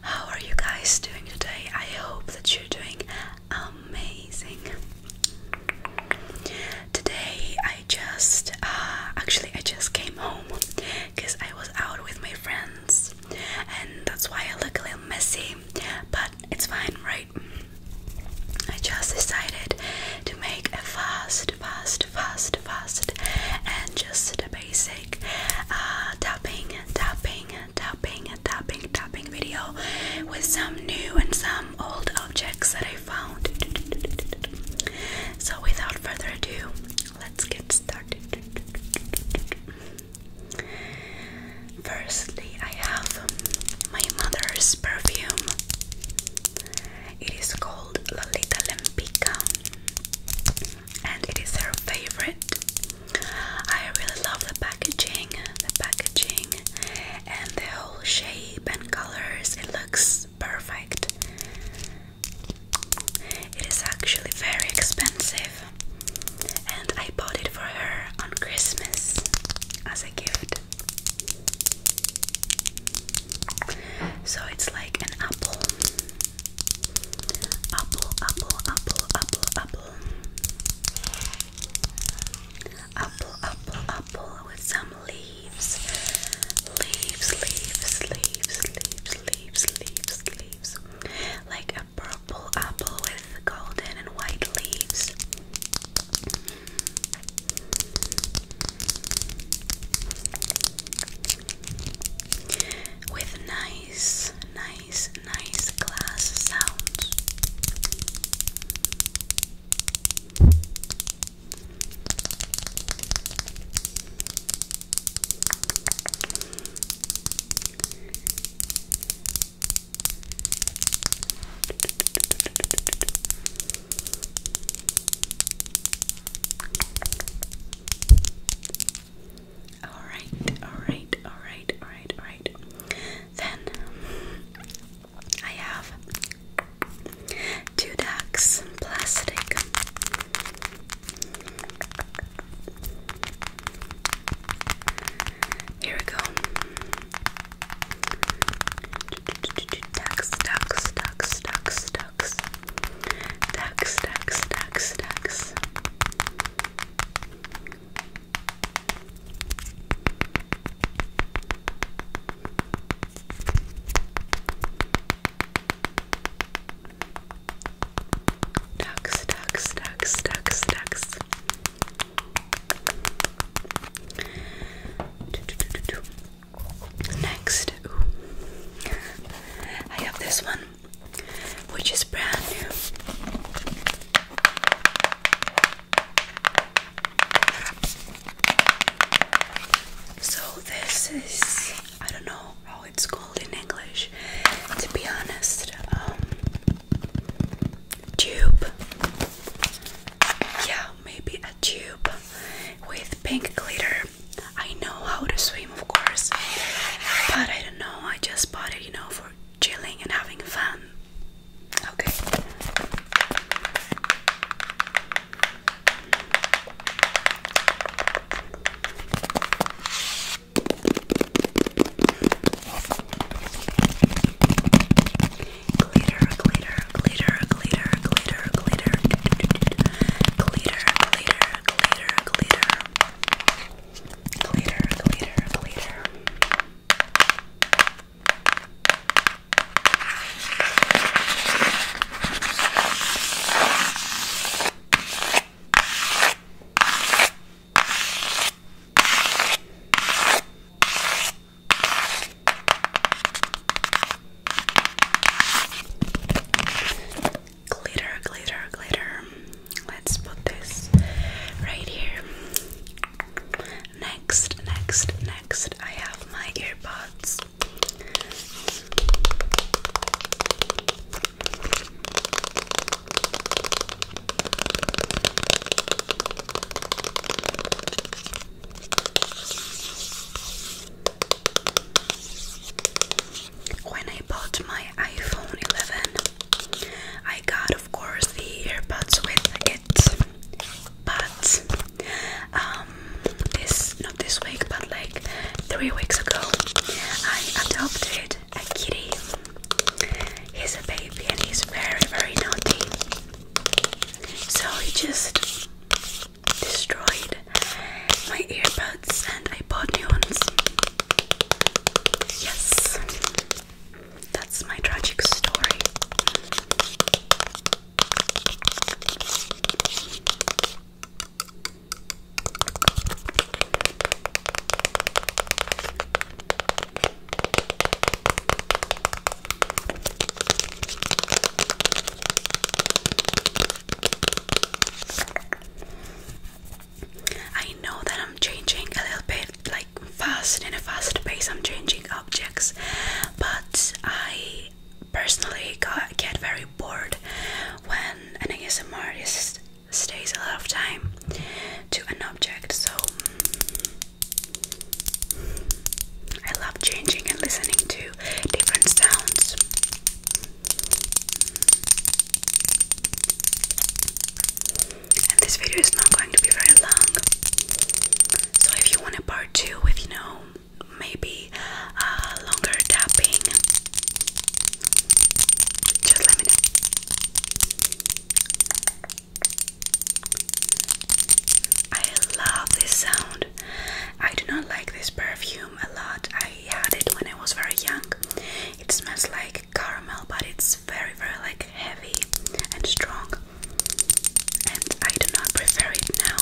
How are you guys doing today? I hope that you're doing amazing. Today I just uh, actually I just came home because I was out with my friends and that's why I look a little messy, but it's fine, right? I just decided to make a fast, fast, fast, fast, and just the basic like tapping, tapping, tapping, tapping, tapping video with some new and some old objects that I found. So without further ado, let's get started. Firstly, I have my mother's perfume. It is called Lolita Lempica and it is her favorite. I really love the packaging, the packaging, and the whole shape and colors. It looks perfect. It is actually very expensive, and I bought it for her on Christmas as a gift. So it's like an apple Apple, apple, apple, apple, apple. Apple, apple, apple with some leaves. Leaves, leaves, leaves, leaves, leaves, leaves, leaves. Like a purple apple with golden and white leaves with nice, nice, nice glass sounds. Alright, alright, alright, alright, alright. Then I have two ducks, plastic. Here we go. Ducks, ducks, ducks, ducks, ducks, ducks, ducks, ducks, ducks, ducks. Ducks, ducks, ducks, ducks, ducks. Next, I have this one, which is brand new. So this is I don't know how it's called in English. To be honest, um, tube yeah, maybe a tube with pink glitter. I know how to swim, of course, but I don't know. I just bought it, you know, for chilling and having fun. Okay glitter, glitter, glitter, glitter, glitter, glitter, glitter, glitter, glitter, glitter, glitter, glitter, glitter. Glitter, Glitter, glitter, glitter. Let's put this right here. Next, next, next, I have my earbuds. When I bought my iPhone 11, I got, of course, the earbuds with it, but um, this not this week, but like three weeks ago, I adopted a kitty. He's a baby and he's very, very naughty. So I just destroyed my earbuds and I bought new ones. Yes, that's my tragic story. I know that I'm changing a little bit like fast in a fast pace I'm changing objects but I personally get very bored when an ASMR artist stays a lot of time to an object so I love changing and listening to different sounds. And this video is not going to be very long. So if you want a part 2 with, you know, maybe uh, longer tapping, just let me know. I love this sound. I do not like this perfume a lot. I had it when I was very young. It smells like caramel, but it's very, very like heavy and strong. And I do not prefer it now.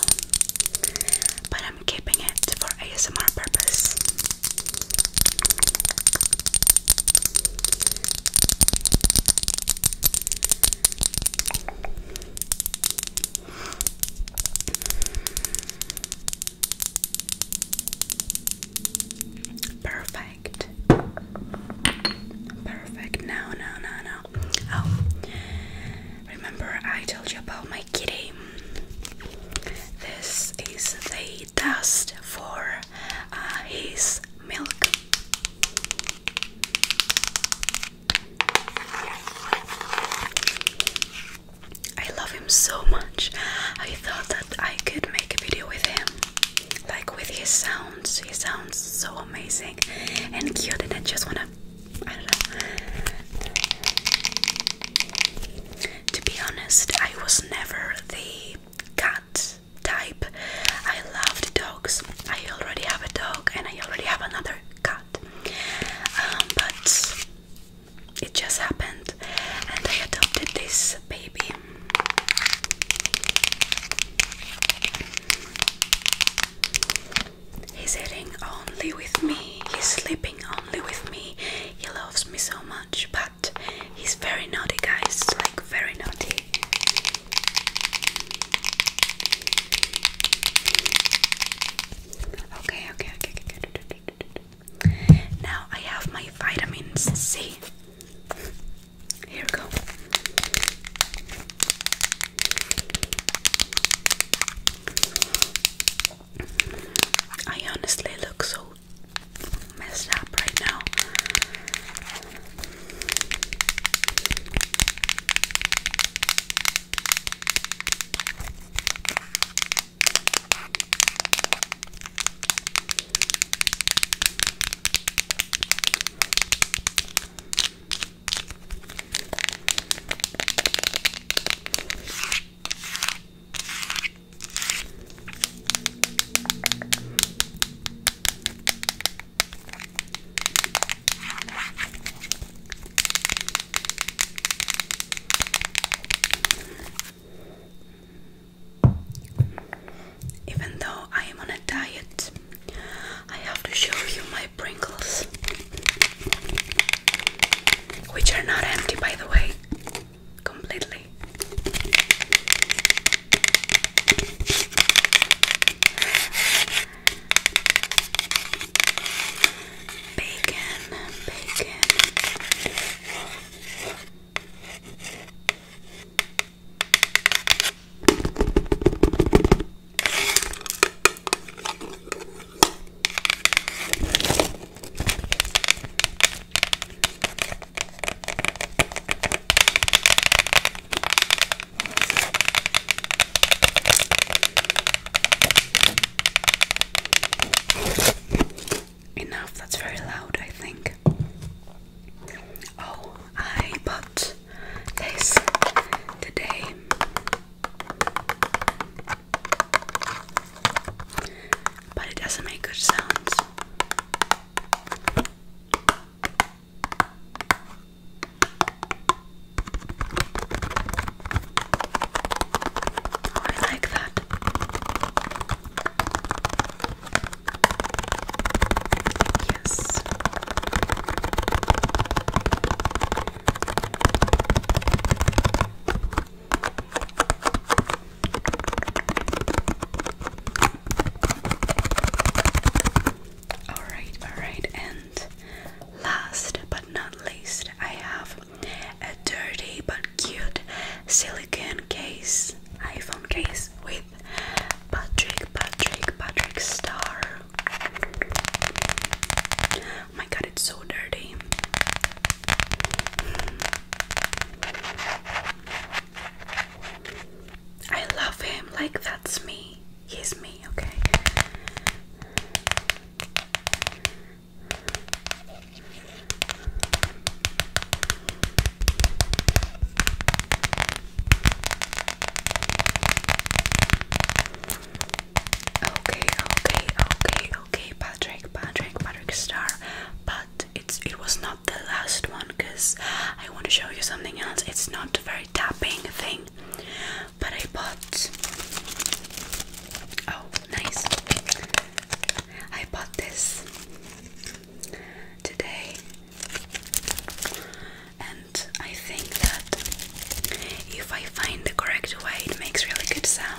But I'm keeping it for ASMR purpose. Perfect. Perfect. No, no, no, no. Oh, remember I told you about my kitty. This is the dust for uh, his milk. I love him so much. I thought that I could make a video with him, like with his sounds. He sounds so amazing and cute, and I just wanna, I don't know. To be honest, I was never the cut type. I love the dogs. I already have a dog and I already have another cat. Um, but it just happened and I adopted this baby. He's eating only with me, he's sleeping only with me, he loves me so much, but He's very naughty, guys, like very naughty. Okay, okay, okay, okay. Now I have my vitamins C. Here we go. I honestly look so messed up right now. Even though I am on a diet, I have to show you my Pringles, which are not empty by the way completely. Bacon, bacon. Enough, that's very loud, I think. Oh, I bought this today. But it doesn't make good sounds. Oh, I like that. Yes. Alright, alright, and last but not least, I have a dirty but cute silicone case, iPhone case with Patrick, Patrick, Patrick Star. Oh my god, it's so dirty. I love him, like that's me. He's me, okay? Okay, okay, okay, okay, Patrick, Patrick, Patrick Star. But it's it was not the last one because I want to show you something else. It's not a very tapping thing. But I bought Oh, nice. I bought this today. And I think that if I find the correct way, it makes really good sound.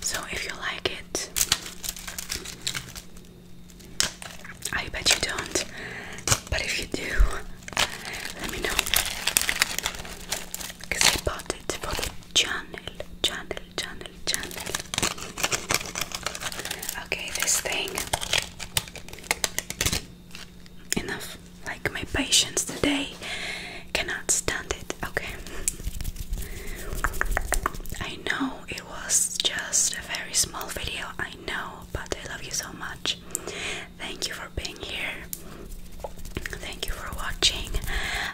So, if you like it, I bet you don't, but if you do, let me know. Because I bought it for the channel, channel, channel, channel. Okay, this thing enough. Like my patience today cannot stand it. Okay. I know it was just a very small video. I know, but I love you so much. Thank you for being here. Thank you for watching.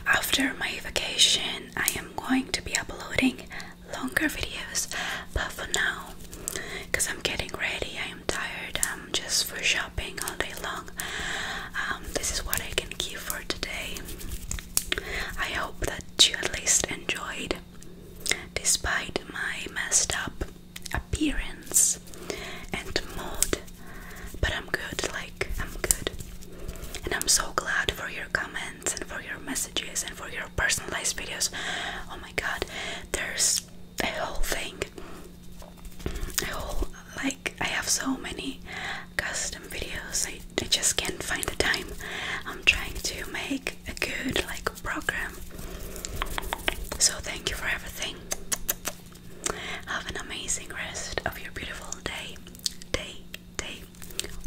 After my vacation, I am going to be uploading longer videos, but for now, because I'm getting ready, I am tired, um, just for shopping all day long. Um, this is what I can give for today. I hope that you at least enjoyed, despite my messed up appearance and mood. But I'm good, like, I'm good. And I'm so glad for your comments and for your messages and for your personalized videos. Oh my god, there's a whole thing oh like I have so many custom videos I, I just can't find the time I'm trying to make a good like program so thank you for everything have an amazing rest of your beautiful day day day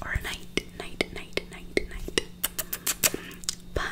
or night night night night night bye